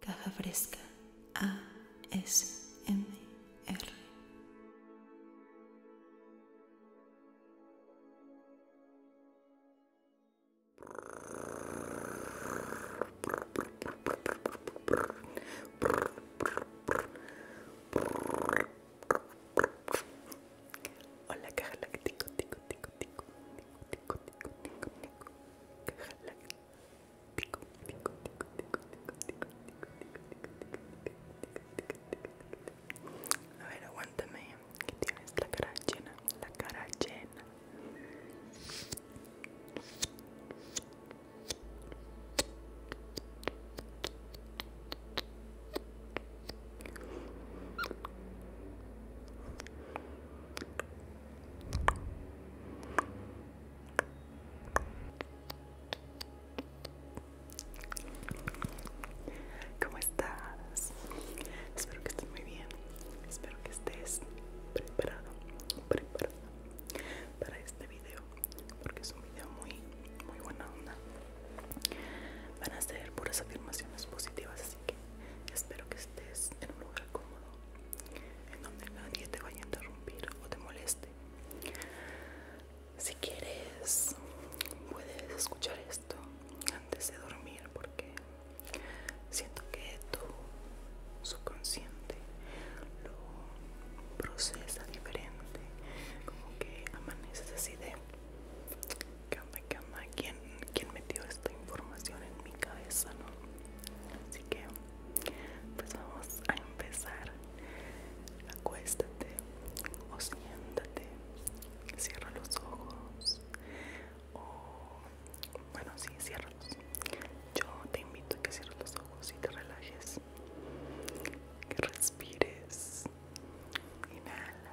Caja Fresca A S ASMR. Hola caja láctico, tico, tico, tico, tico, tico, a ver, aguántame. Que tienes la cara llena, la cara llena. ¿Cómo estás? Espero que estés muy bien. Espero que estés preparado, preparado para este video, porque es un video muy, muy buena onda. Van a ser puras afirmaciones positivas espero que estés en un lugar cómodo en donde nadie te vaya a interrumpir o te moleste si quieres puedes escuchar esto antes de dormir porque siento que tu subconsciente lo procesa diferente como que amaneces así de ¿Quién, ¿quién metió esta información en mi cabeza, no? Así que, pues vamos a empezar. Acuéstate o siéntate, cierra los ojos o, bueno, sí, ciérralos. Yo te invito a que cierres los ojos y te relajes, que respires. Inhala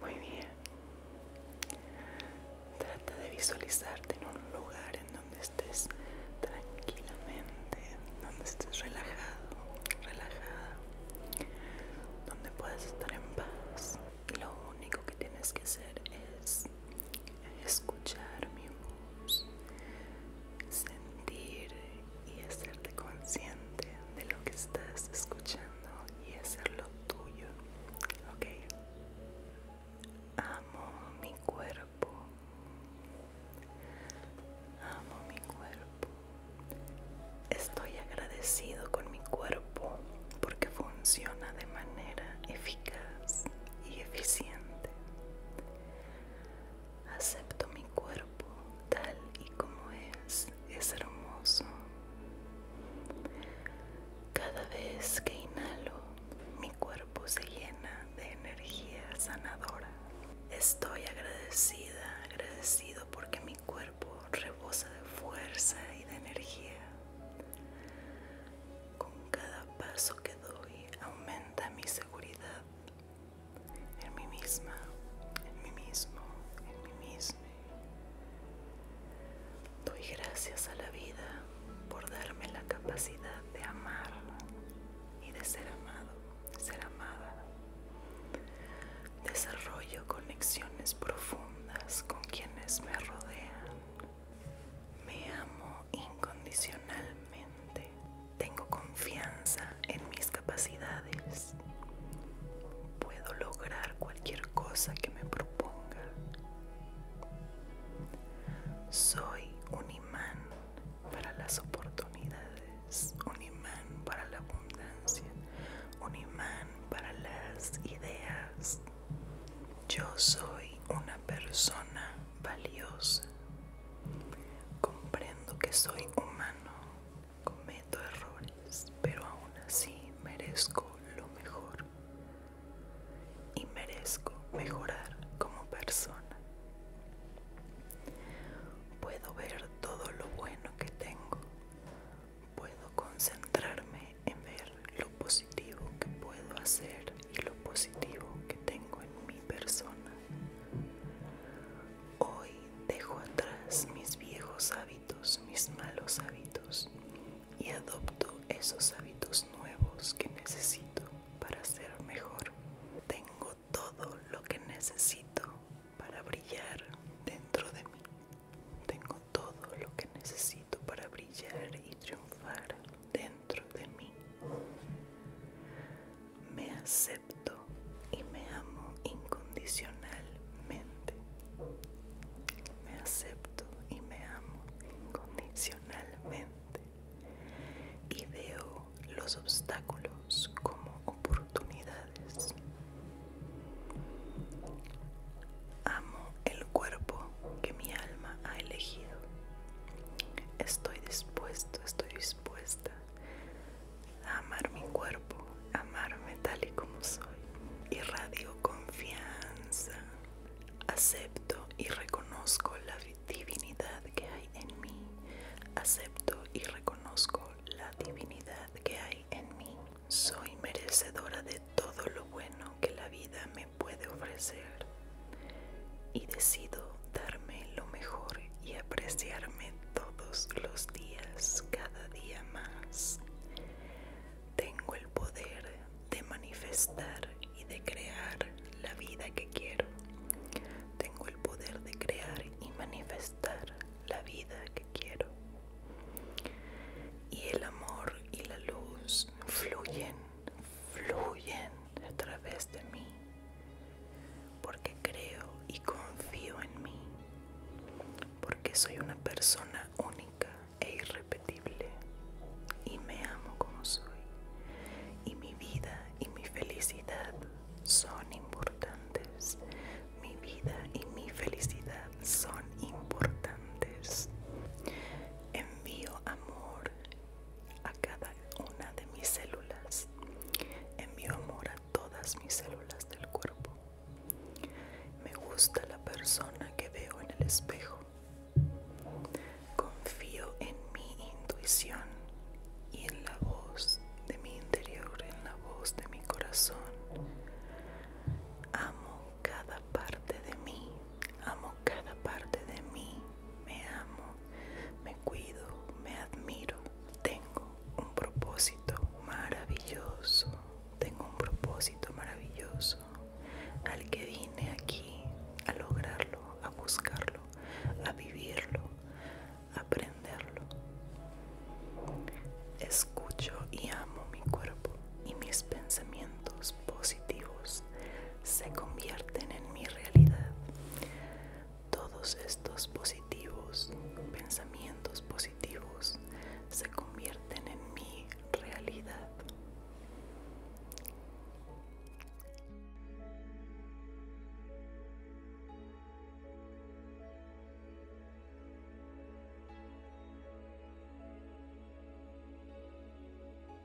Muy bien. Trata de visualizarte en un lugar en donde estés tranquilamente, donde estés relajado, relajada, donde puedas estar en paz. lo único que tienes que hacer es escuchar mi voz, sentir y hacerte consciente de lo que estás escuchando y hacerlo tuyo ok amo mi cuerpo amo mi cuerpo estoy agradecido con mi cuerpo porque funciona de manera eficaz y eficiente acepto mi cuerpo tal y como es es hermoso. Cada vez que inhalo, mi cuerpo se llena de energía sanadora. Estoy agradecida, agradecido porque mi cuerpo rebosa de fuerza y de energía. Con cada paso que doy, aumenta mi seguridad en mí misma, en mí mismo, en mí misma. Doy gracias a la vida por darme la capacidad de amar y de ser amado, ser amada. Desarrollo conexiones profundas con quienes me rodean. Me amo incondicionalmente. Tengo confianza en mis capacidades. Puedo lograr cualquier cosa que me proponga. Soy un imán para las oportunidades, un imán para la abundancia, un imán para las ideas. Yo soy una persona valiosa. Comprendo que soy humano Cometo errores, pero aún así merezco lo mejor. Y merezco mejorar como persona. Puedo ver todo lo bueno que tengo. Puedo concentrarme en ver lo positivo que puedo hacer y lo positivo que tengo en mi persona. Hoy dejo atrás mis viejos hábitos, mis malos hábitos, y adopto esos hábitos nuevos que necesito para ser mejor. Tengo todo lo que necesito para brillar dentro de mí. Tengo todo lo que necesito para brillar y triunfar dentro de mí me acepto y me amo incondicionalmente. Me acepto y me amo incondicionalmente. Y veo los obstáculos como oportunidades. Amo el cuerpo que mi alma ha elegido. Estoy dispuesto, estoy dispuesta amar mi cuerpo, amarme tal y como soy. Y radio confianza, acepto y reconozco la divinidad que hay en mí, acepto y reconozco la divinidad que hay en mí. Soy merecedora de todo lo bueno que la vida me puede ofrecer y decido darme lo mejor y apreciarme todos los días, cada día más. Tengo el poder de manifestar y de crear la vida que quiero. Tengo el poder de crear y manifestar la vida que quiero. Y el amor y la luz fluyen, fluyen a través de mí, porque creo y confío en mí, porque soy una persona única e irrepetible y me amo como soy, y mi vida y mi felicidad son importantes, mi vida y mi felicidad son importantes. Envío amor a cada una de mis células. Envío amor a todas mis células del cuerpo. Me gusta la persona que veo en el espejo. Confío en mi intuición y en la voz de mi interior, en la voz de mi corazón. Amo cada parte de mí. Amo cada parte de mí, me amo, me cuido, me admiro. Tengo un propósito maravilloso, tengo un propósito maravilloso al que vine aquí a lograrlo, a buscarlo, a vivirlo, a aprenderlo. Escucho y amo mi cuerpo y mis pensamientos positivos se convierten en mi realidad. Todos estos positivos, pensamientos positivos, se convierten en mi realidad.